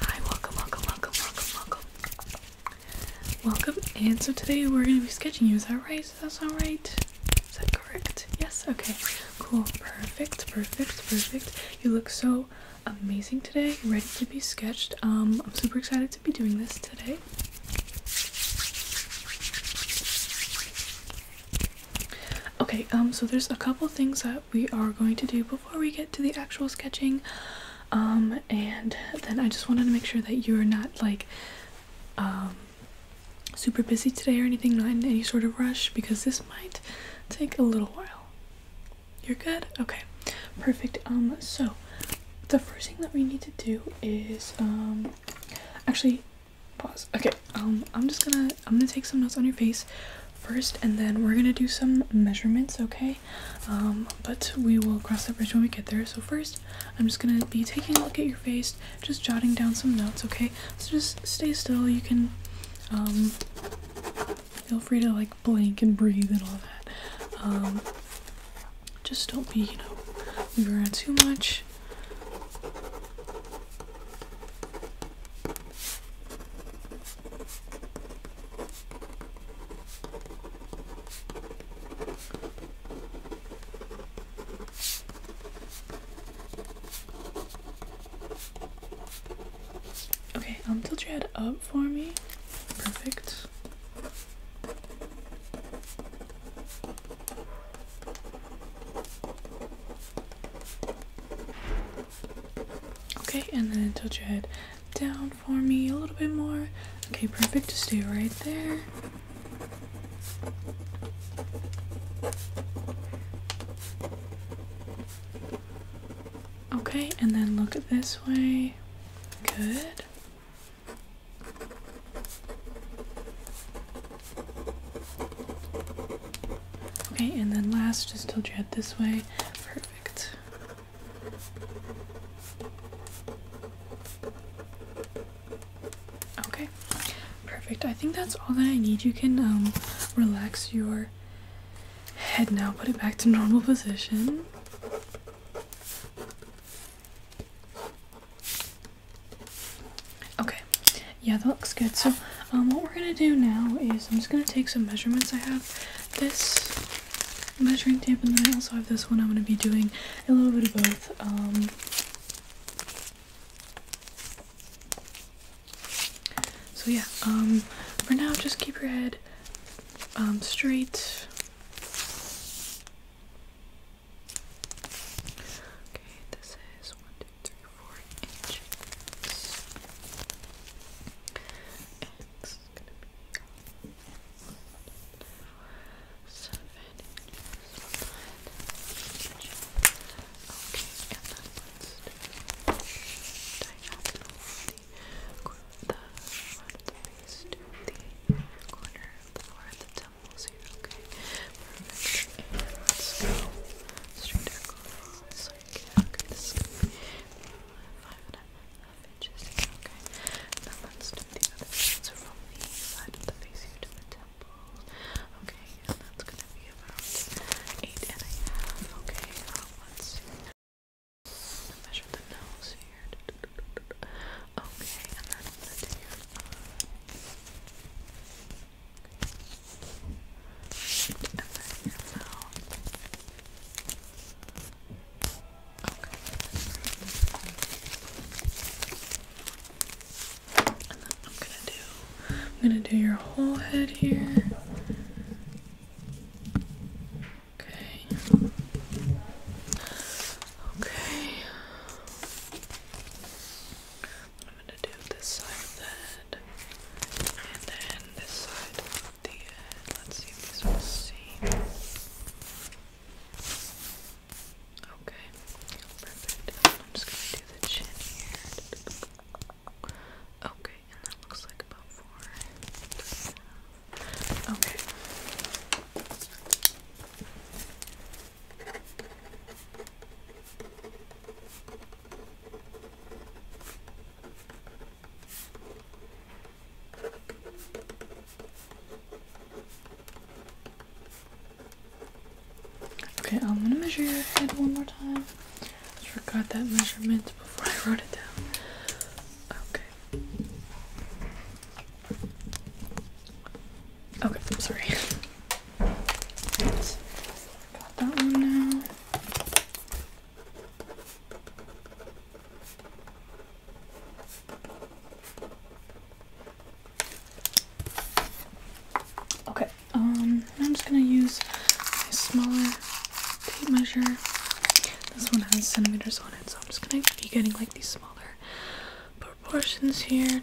Hi, welcome, welcome, welcome, welcome, welcome. Welcome, and so today we're going to be sketching you, is that right? That's all right? Is that correct? Yes? Okay, cool, perfect, perfect, perfect. You look so amazing today, ready to be sketched. Um, I'm super excited to be doing this today. Okay, um, so there's a couple things that we are going to do before we get to the actual sketching um, and then i just wanted to make sure that you're not like um, super busy today or anything not in any sort of rush because this might take a little while you're good okay perfect um so the first thing that we need to do is um actually pause okay um i'm just gonna i'm gonna take some notes on your face first and then we're gonna do some measurements okay um, but we will cross the bridge when we get there so first i'm just gonna be taking a look at your face just jotting down some notes okay so just stay still you can um, feel free to like blink and breathe and all that um, just don't be you know move around too much Okay, um, tilt your head up for me. Perfect. Okay, and then tilt your head down for me a little bit more. Okay, perfect. Just stay right there. Okay, and then look this way. Good. Okay, and then last, just tilt your head this way perfect. Okay, perfect. I think that's all that I need. You can um, relax your head now, put it back to normal position. Okay, yeah, that looks good. So um, what we're gonna do now is I'm just gonna take some measurements. I have this measuring tape, and then I also have this one. I'm gonna be doing a little bit of both. Um, so yeah, um, for now, just keep your head straight. Okay, this is one, two, three, four inches. X is gonna be seven inches. Okay, and then let's the the front to the corner of the floor of Okay, let's go straight across. Okay, this is Five and a half inches. Okay. Now let's do the other side. of the face here to the temples. Okay, and that's gonna be about eight and a half. Okay, um, let's Measure the nose here. Okay, and then I'm do your uh, I'm gonna do I'm gonna do your whole head here. Okay. Okay. I'm gonna do this side of the head. And then this side the uh, Let's see if these will see. Okay, perfect. I'm just gonna do the chin here. Okay, and that looks like about four. Okay, Okay, I'm gonna measure your head one more time. I forgot that measurement before I wrote it down. Okay. Okay, I'm sorry that one now. Okay, um, I'm just gonna use my smaller tape measure. This one has centimeters on it, so I'm just gonna be getting like these smaller proportions here.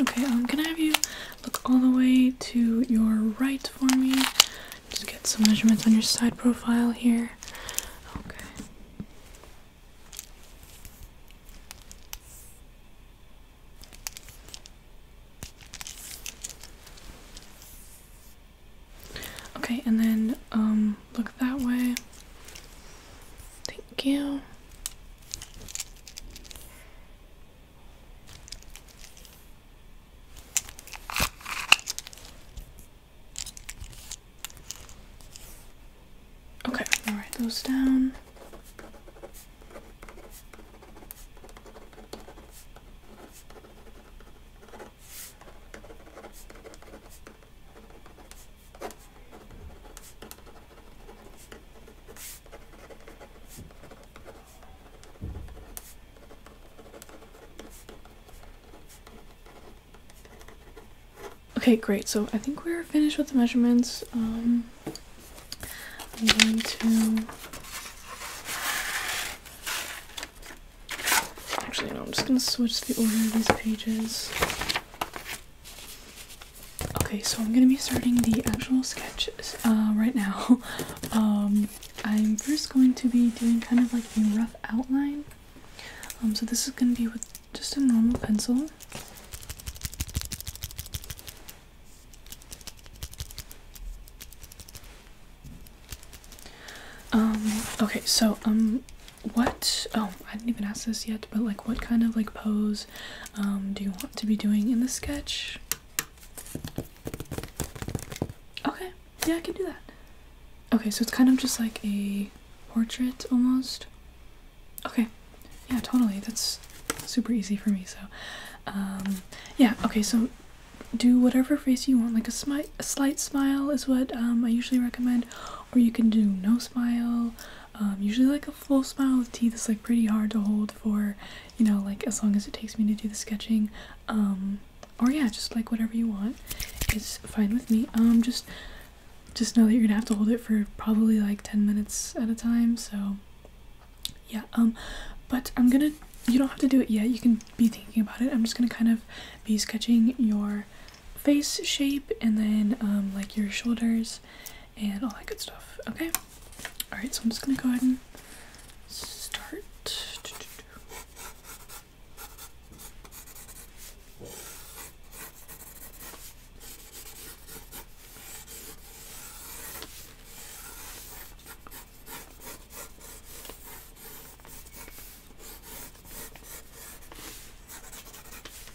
Okay, I'm um, gonna have you look all the way to your right for me? Just get some measurements on your side profile here. Okay. Okay, and then um look that way. Thank you. Okay, I'll write those down. Okay, great. So I think we're finished with the measurements. Um, I'm going to... Actually, no, I'm just going to switch the order of these pages. Okay, so I'm gonna be starting the actual sketches uh, right now. Um, I'm first going to be doing kind of like a rough outline. Um, so this is gonna be with just a normal pencil. Um, okay, so, um, what, oh, I didn't even ask this yet, but like what kind of like pose um, do you want to be doing in the sketch? Okay, yeah, I can do that. Okay, so it's kind of just like a portrait almost. Okay, yeah, totally. That's super easy for me. So, um, yeah, okay, so do whatever face you want, like a, smi a slight smile is what um, I usually recommend, or you can do no smile um, usually like a full smile with teeth is like pretty hard to hold for you know like as long as it takes me to do the sketching um, or yeah just like whatever you want is fine with me um just just know that you're gonna have to hold it for probably like 10 minutes at a time so yeah um but i'm gonna you don't have to do it yet you can be thinking about it i'm just gonna kind of be sketching your face shape and then um, like your shoulders and all that good stuff. Okay? Alright, so I'm just gonna go ahead and start.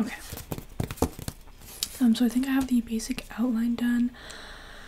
Okay. Um, so I think I have the basic outline done.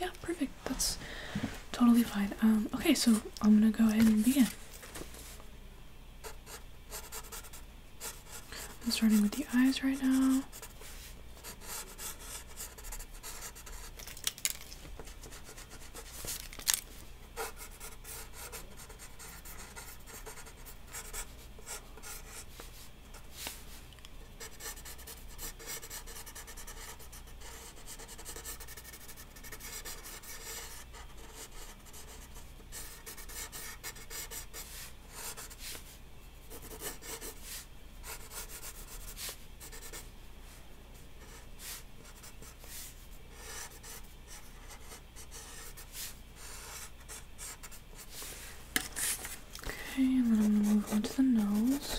yeah, perfect. That's totally fine. Um, okay, so I'm gonna go ahead and begin. I'm starting with the eyes right now. Okay, and then I'm gonna move on to the nose.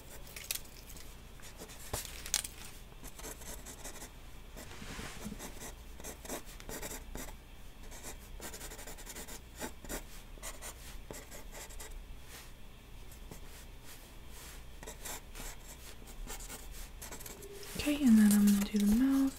Okay, and then I'm gonna do the mouth.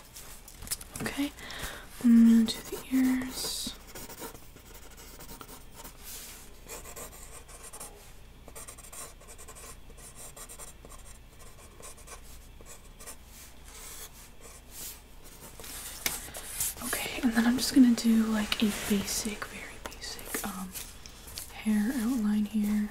Okay, I'm mm, going to do the ears. Okay, and then I'm just gonna do like a basic, very basic um hair outline here.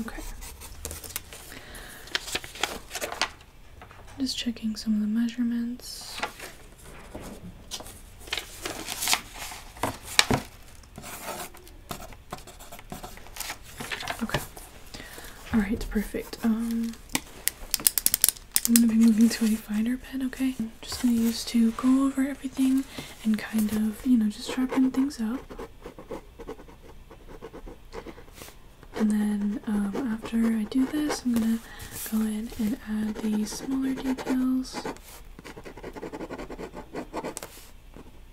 Okay. Just checking some of the measurements. Okay. All right, perfect. Um, I'm gonna be moving to a finer pen. Okay, mm-hmm. just gonna use to go over everything and kind of, you know, just sharpen things up. And then um, after I do this, I'm gonna go in and add the smaller details.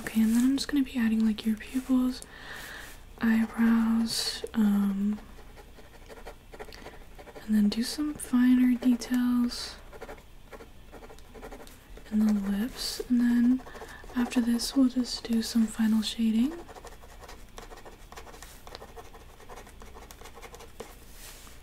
Okay, and then I'm just gonna be adding like your pupils, eyebrows, um, and then do some finer details and the lips. And then after this, we'll just do some final shading.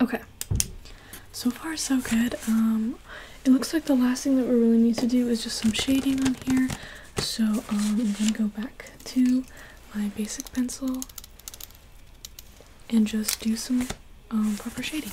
Okay, so far so good. Um, it looks like the last thing that we really need to do is just some shading on here. So um, I'm gonna go back to my basic pencil and just do some um, proper shading.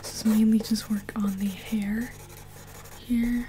This is mainly just work on the hair here.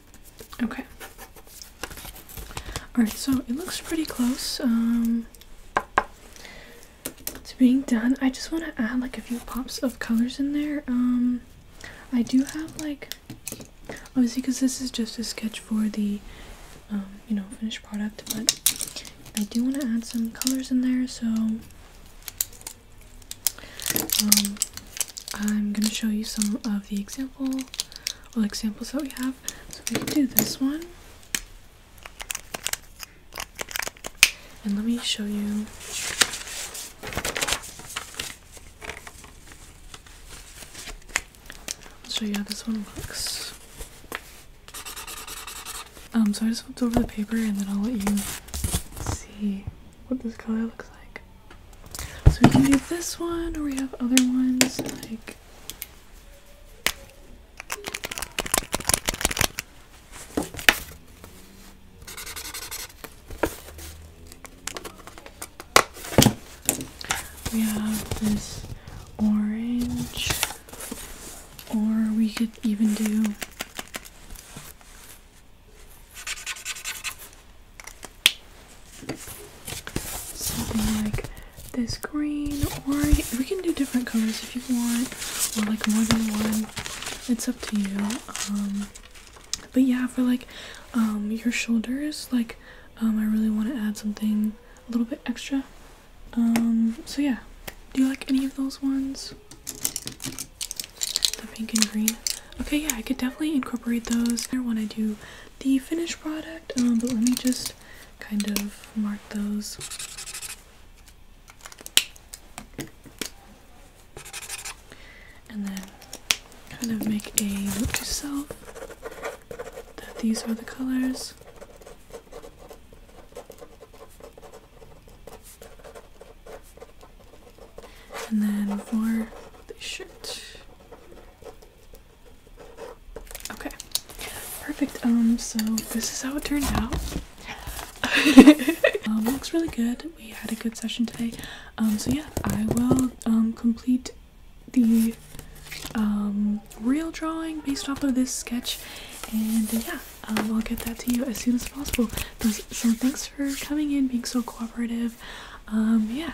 Okay. Alright, so it looks pretty close um, to being done. I just want to add like a few pops of colors in there. Um, I do have like, obviously because this is just a sketch for the, um, you know, finished product, but I do want to add some colors in there. So um, I'm going to show you some of the example all examples that we have. So we can do this one. And let me show you. I'll show you how this one looks. Um, so I just flipped over the paper and then I'll let you see what this color looks like. So we can do this one, or we have other ones like. We have this orange, or we could even do Something like this green, or we can do different colors if you want, or like more than one. It's up to you. Um, but yeah, for like um, your shoulders, like um, I really want to add something a little bit extra. so yeah, do you like any of those ones? The pink and green. Okay, yeah, I could definitely incorporate those when I do the finished product, um, but let me just kind of mark those. And then kind of make a note to self that these are the colors. And then for the shirt, Okay, perfect. Um, so this is how it turned out. Um, looks really good. We had a good session today. Um, so yeah, I will um complete the um real drawing based off of this sketch, and yeah, um, I'll get that to you as soon as possible. So, so thanks for coming in, being so cooperative. Um, yeah.